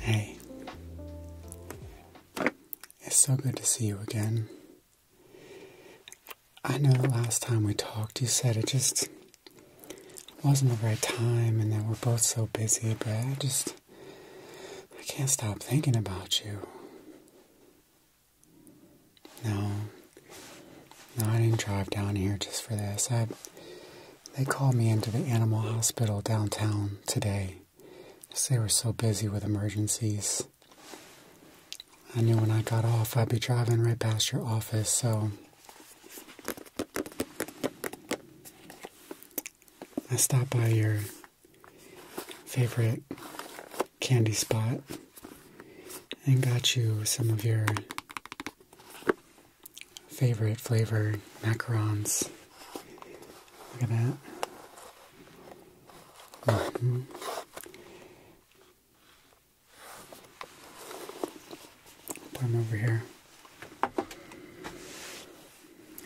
Hey, it's so good to see you again. I know the last time we talked, you said it just it wasn't the right time, and then we're both so busy, but I just. I can't stop thinking about you. No. No, I didn't drive down here just for this. I. They called me into the animal hospital downtown today. Just they were so busy with emergencies. I knew when I got off I'd be driving right past your office, so I stopped by your favorite candy spot and got you some of your favorite flavor macarons. Look at that. Mm Put them over here.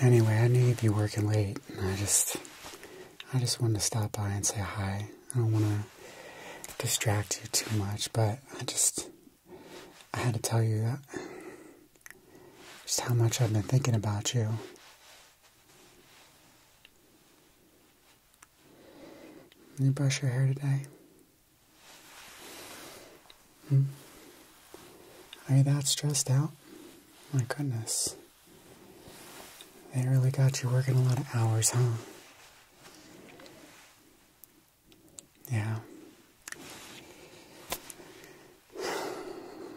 Anyway, I knew you'd be working late, and I just, I just wanted to stop by and say hi. I don't want to distract you too much, but I just, I had to tell you that, uh, just how much I've been thinking about you. you brush your hair today? Hmm? Are you that stressed out? My goodness. They really got you working a lot of hours, huh? Yeah.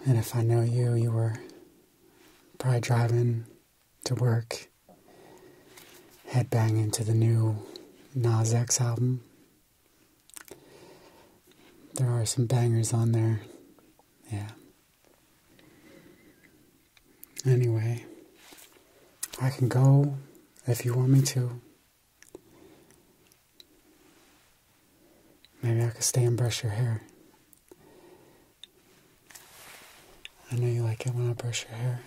And if I know you, you were probably driving to work, headbanging to the new Nas X album. There are some bangers on there. Yeah. Anyway, I can go if you want me to. Maybe I could stay and brush your hair. I know you like it when I brush your hair.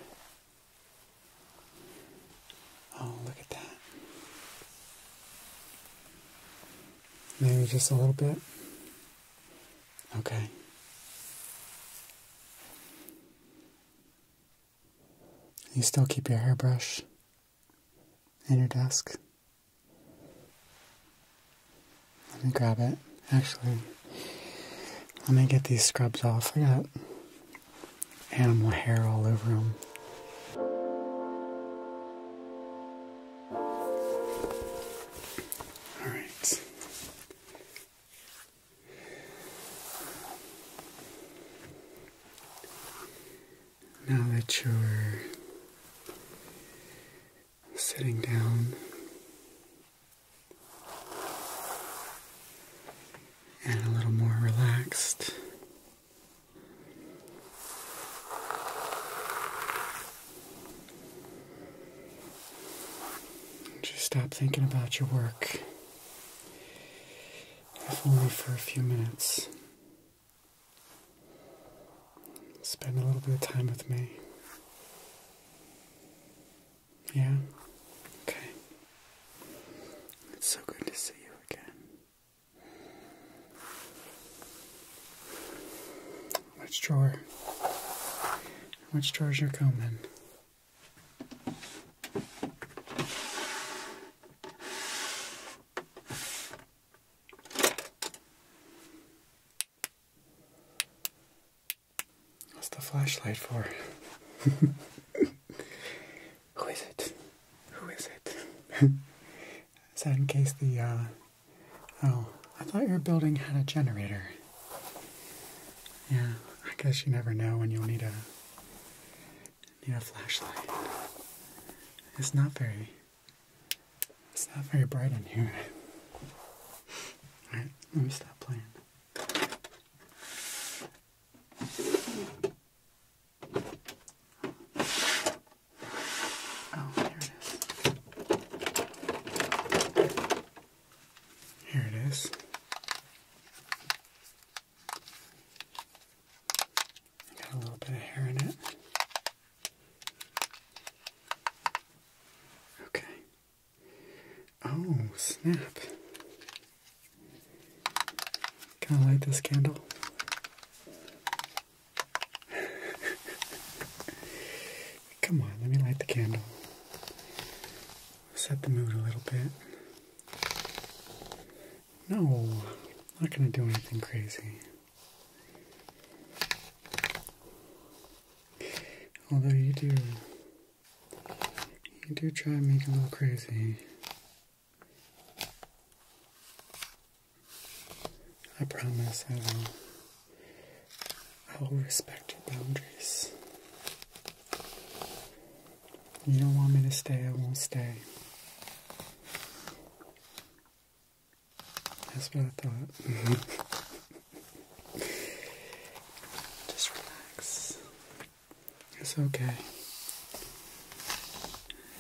Oh, look at that. Maybe just a little bit. Okay. You still keep your hairbrush in your desk. Let me grab it. Actually, let me get these scrubs off. I got animal hair all over them. Alright. Now that you're sitting down, and a little more relaxed. Just stop thinking about your work, if only for a few minutes. Spend a little bit of time with me. Yeah? Okay. It's so good to see you again. Which drawer? Which drawer's your comb in? What's the flashlight for? Who is it? Who is it? is that in case the, uh, Oh, I thought your building had a generator. Yeah, I guess you never know when you'll need a... need a flashlight. It's not very... It's not very bright in here. Alright, let me stop playing. Oh, here it is. Here it is. Got a little bit of hair in it. Okay. Oh, snap. Can I light this candle? Come on, let me light the candle. Set the mood a little bit. No, not gonna do anything crazy. Although you do you do try and make it look crazy. I promise I will. I will respect your boundaries. You don't want me to stay, I won't stay. That's what I thought. Just relax. It's okay.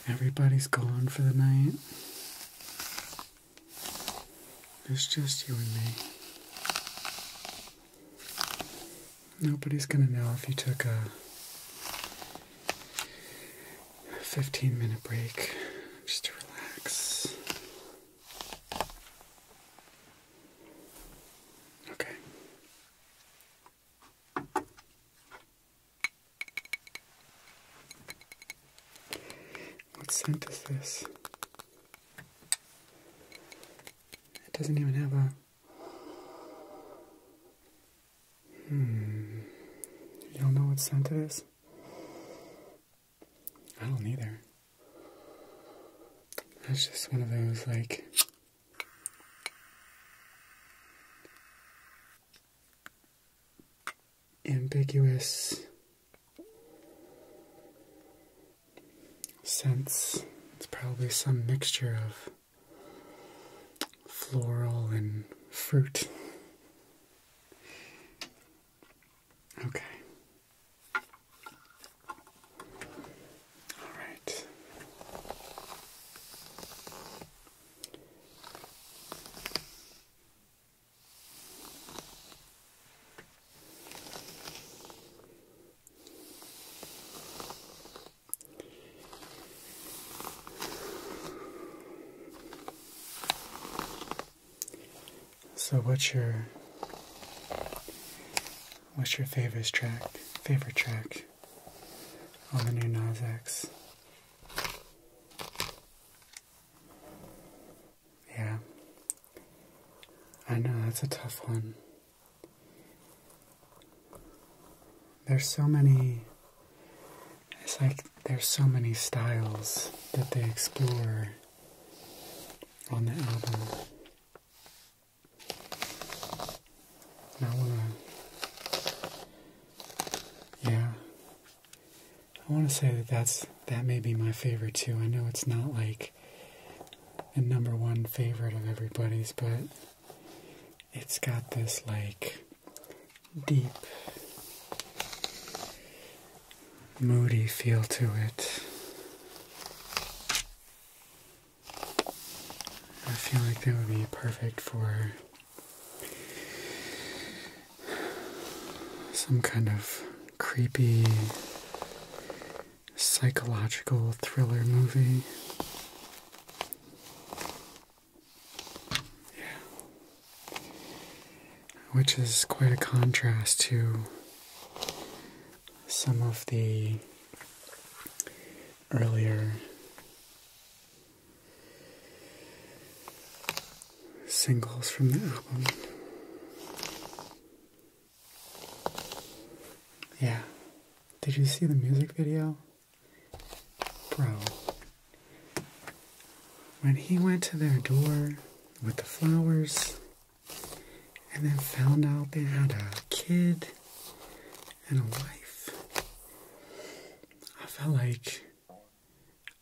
Everybody's gone for the night. It's just you and me. Nobody's gonna know if you took a 15 minute break just to relax. Okay. What scent is this? It doesn't even have a. Hmm. You don't know what scent it is? I don't either. That's just one of those like ambiguous scents. It's probably some mixture of floral and fruit. Okay. All right. So, what's your What's your favorite track? Favorite track on the new Nas Yeah, I know that's a tough one. There's so many. It's like there's so many styles that they explore on the album. I wanna, uh, yeah, I wanna say that that's that may be my favorite too. I know it's not like a number one favorite of everybody's, but it's got this like deep, moody feel to it. I feel like that would be perfect for some kind of creepy psychological thriller movie. Yeah. Which is quite a contrast to some of the earlier singles from the album. Yeah. Did you see the music video? Bro. When he went to their door with the flowers, and then found out they had a kid and a wife. I felt like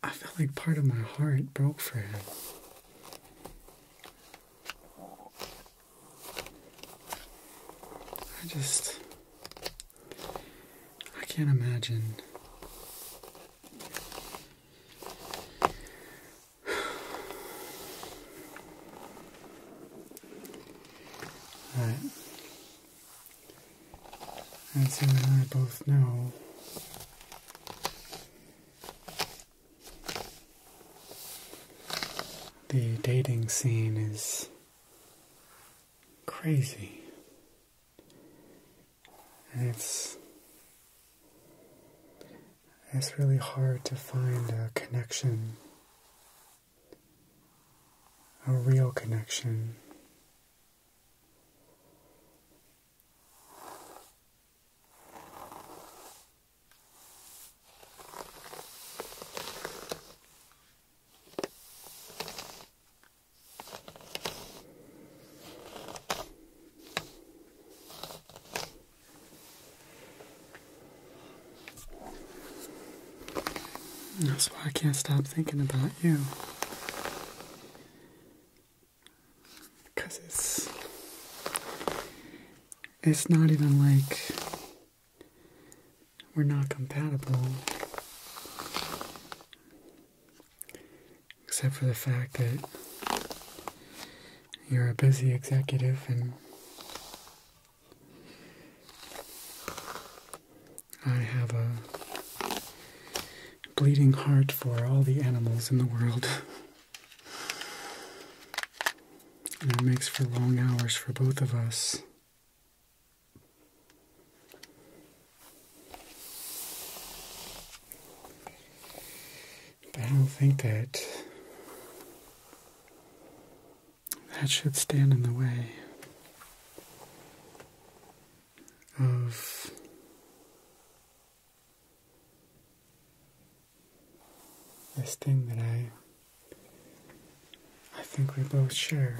I felt like part of my heart broke for him. I just I can't imagine as you and I both know, the dating scene is crazy. it's it's really hard to find a connection, a real connection. That's why I can't stop thinking about you. Because it's. It's not even like we're not compatible. Except for the fact that you're a busy executive and I have a bleeding heart for all the animals in the world. and it makes for long hours for both of us. I don't think that that should stand in the way of this thing that I I think we both share.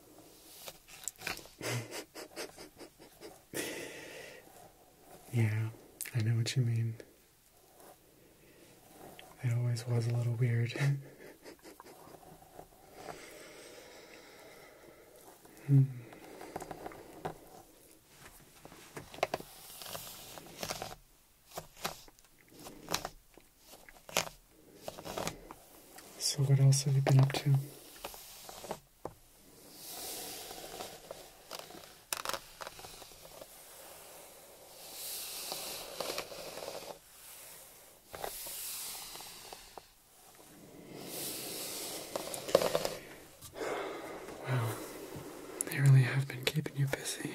yeah, I know what you mean. It always was a little weird. hmm. So, what else have you been up to? Wow, they really have been keeping you busy.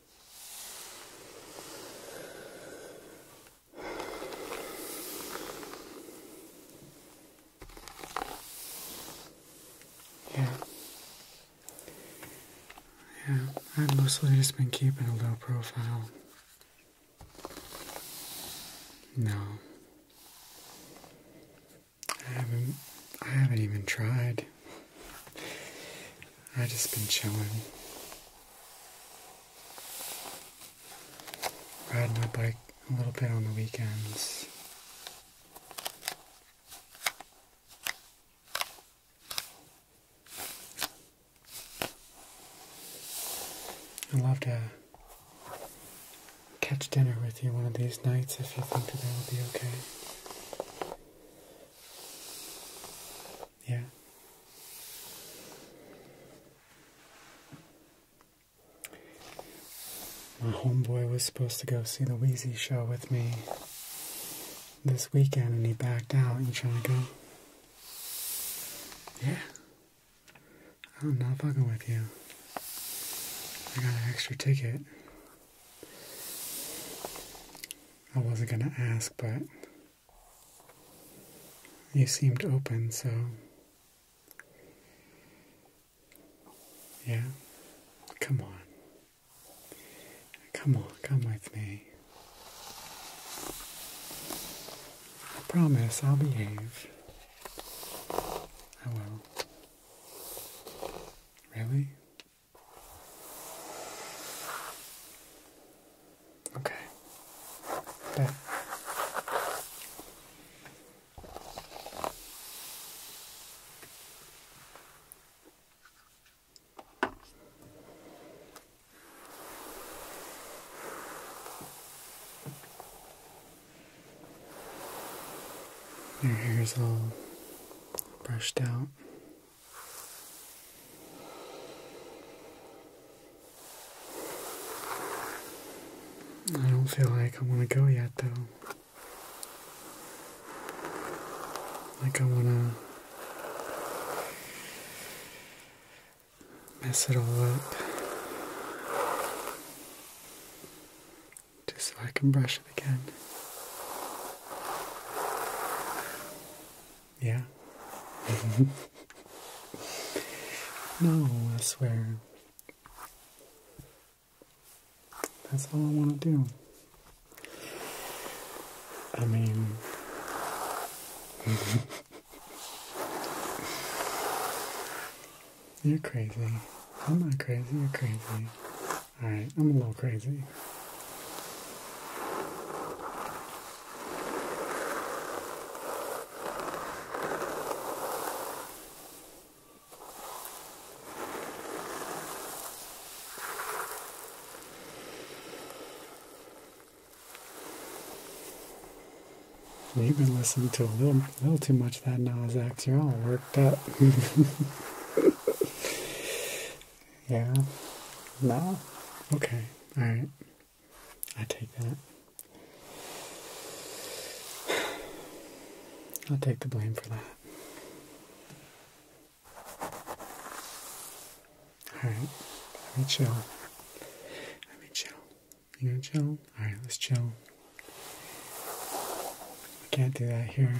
Yeah. Yeah, I've mostly just been keeping a low profile. No. I haven't I haven't even tried. I have just been chilling. Ride my bike a little bit on the weekends. i love to catch dinner with you one of these nights if you think that that would be okay. Yeah. My homeboy was supposed to go see the Wheezy show with me this weekend and he backed out. You trying to go? Yeah. I'm not fucking with you. I got an extra ticket. I wasn't gonna ask, but you seemed open, so yeah, come on. Come on, come with me. I promise I'll behave. I will. Really? Okay. There. Your hair's all brushed out. I don't feel like I want to go yet, though. Like I want to mess it all up. Just so I can brush it again. Yeah. no, I swear. That's all I want to do. I mean, you're crazy. I'm not crazy, you're crazy. Alright, I'm a little crazy. You've been listening to a little, little too much of that Nas X. You're all worked up. Yeah. No? Okay. Alright. I take that. i take the blame for that. Alright. Let me chill. Let me chill. You gonna chill? Alright, let's chill. We can't do that here.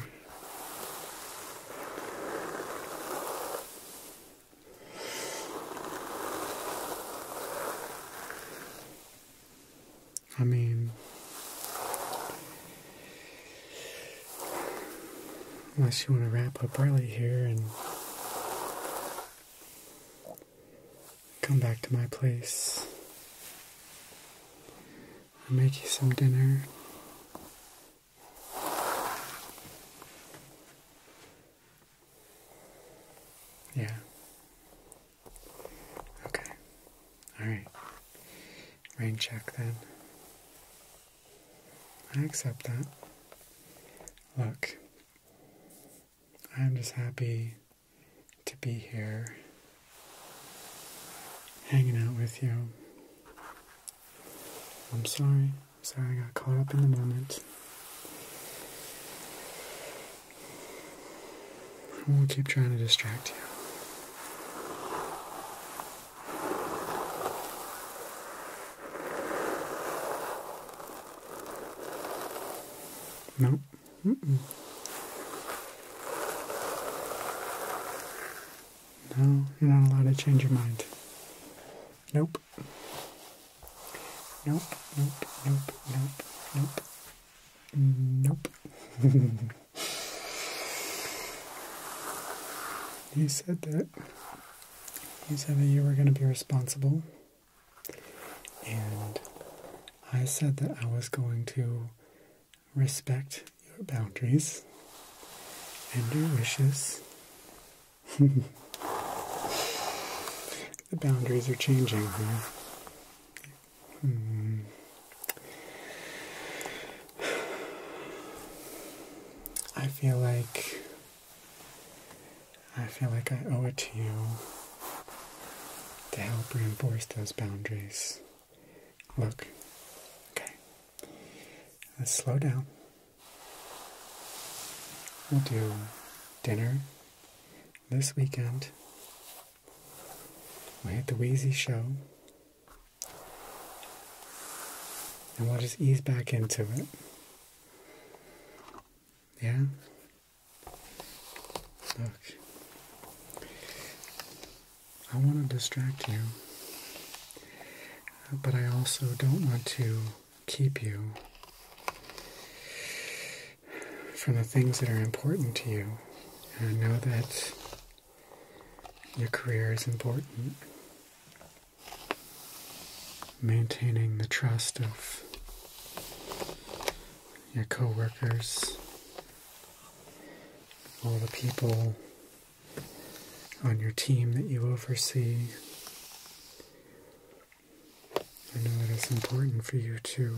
I mean, unless you want to wrap up early here and come back to my place, I'll make you some dinner. Yeah. Okay. All right. Rain check then. I accept that. Look, I'm just happy to be here hanging out with you. I'm sorry. I'm Sorry, I got caught up in the moment. I will keep trying to distract you. No. No, you're not allowed to change your mind. Nope. Nope, nope, nope, nope, nope. you said that. You said that you were going to be responsible. And I said that I was going to respect your boundaries and your wishes. the boundaries are changing hmm. I feel like I feel like I owe it to you to help reinforce those boundaries. Look. Okay. Let's slow down. We'll do dinner this weekend. We'll hit the Wheezy show. And we'll just ease back into it. Yeah? Look. I want to distract you, but I also don't want to keep you from the things that are important to you. I know that your career is important. Maintaining the trust of your coworkers, all the people on your team that you oversee. I know that it's important for you to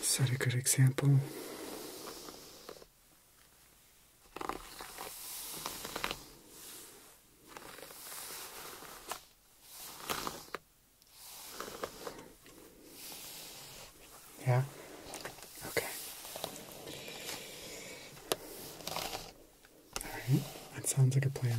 set a good example. Yeah? Okay. Alright, that sounds like a plan.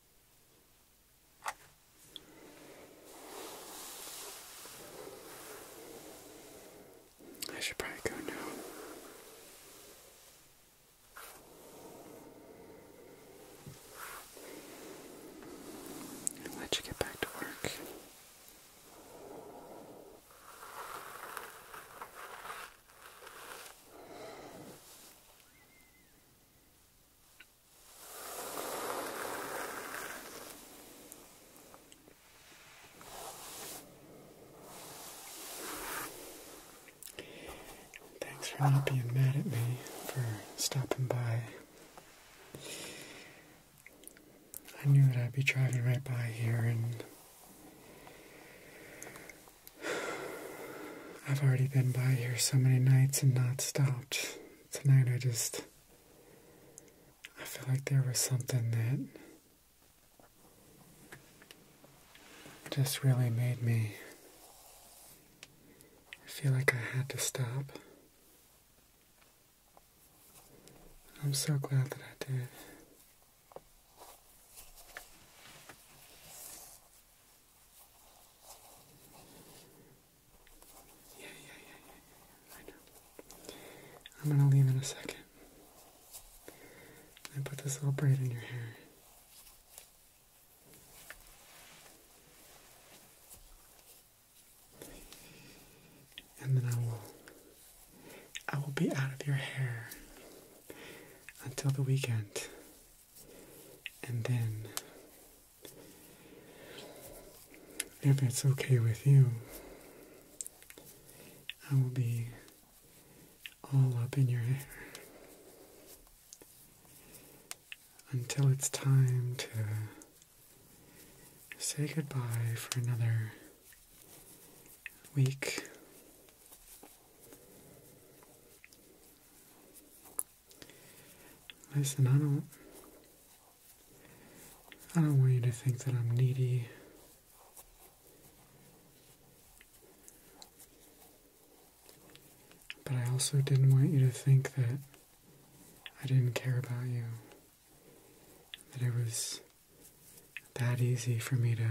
I should probably go now. let you get back to work. Thanks for not being mad at me for stopping by. I knew that I'd be driving right by here and I've already been by here so many nights and not stopped. Tonight I just. I feel like there was something that. just really made me. feel like I had to stop. I'm so glad that I did. Yeah, yeah, yeah, yeah, I know. I'm gonna leave in a second. I put this little braid in your hair. And then I will I will be out of your hair until the weekend. And then, if it's okay with you, I will be all up in your hair until it's time to say goodbye for another week. Listen, I don't I don't want you to think that I'm needy. But I also didn't want you to think that I didn't care about you. That it was that easy for me to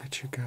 let you go.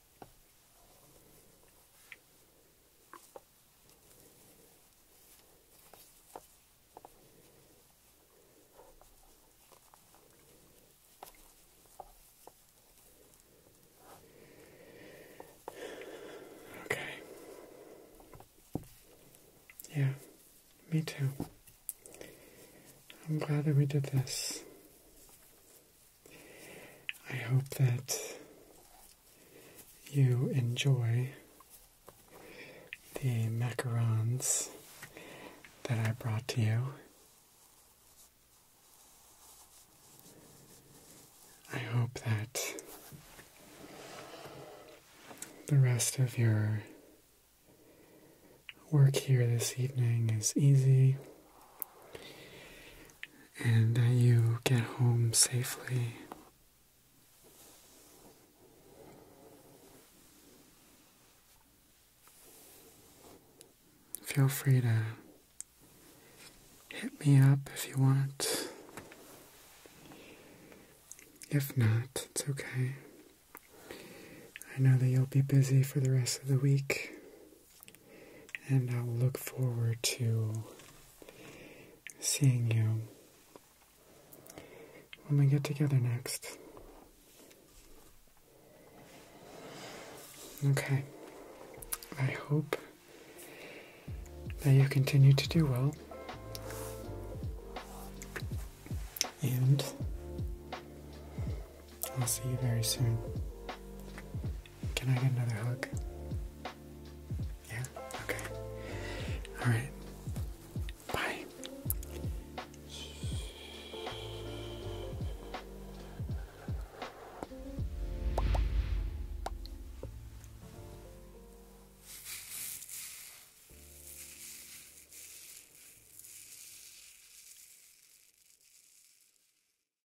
Okay. Yeah, me too. I'm glad that we did this. I hope that you enjoy the macarons that I brought to you. I hope that the rest of your work here this evening is easy and that you get home safely. Feel free to hit me up if you want. If not, it's okay. I know that you'll be busy for the rest of the week and I'll look forward to seeing you when we get together next. Okay, I hope that you continue to do well. And I'll see you very soon. Can I get another hug? Yeah? Okay. Alright. Bye.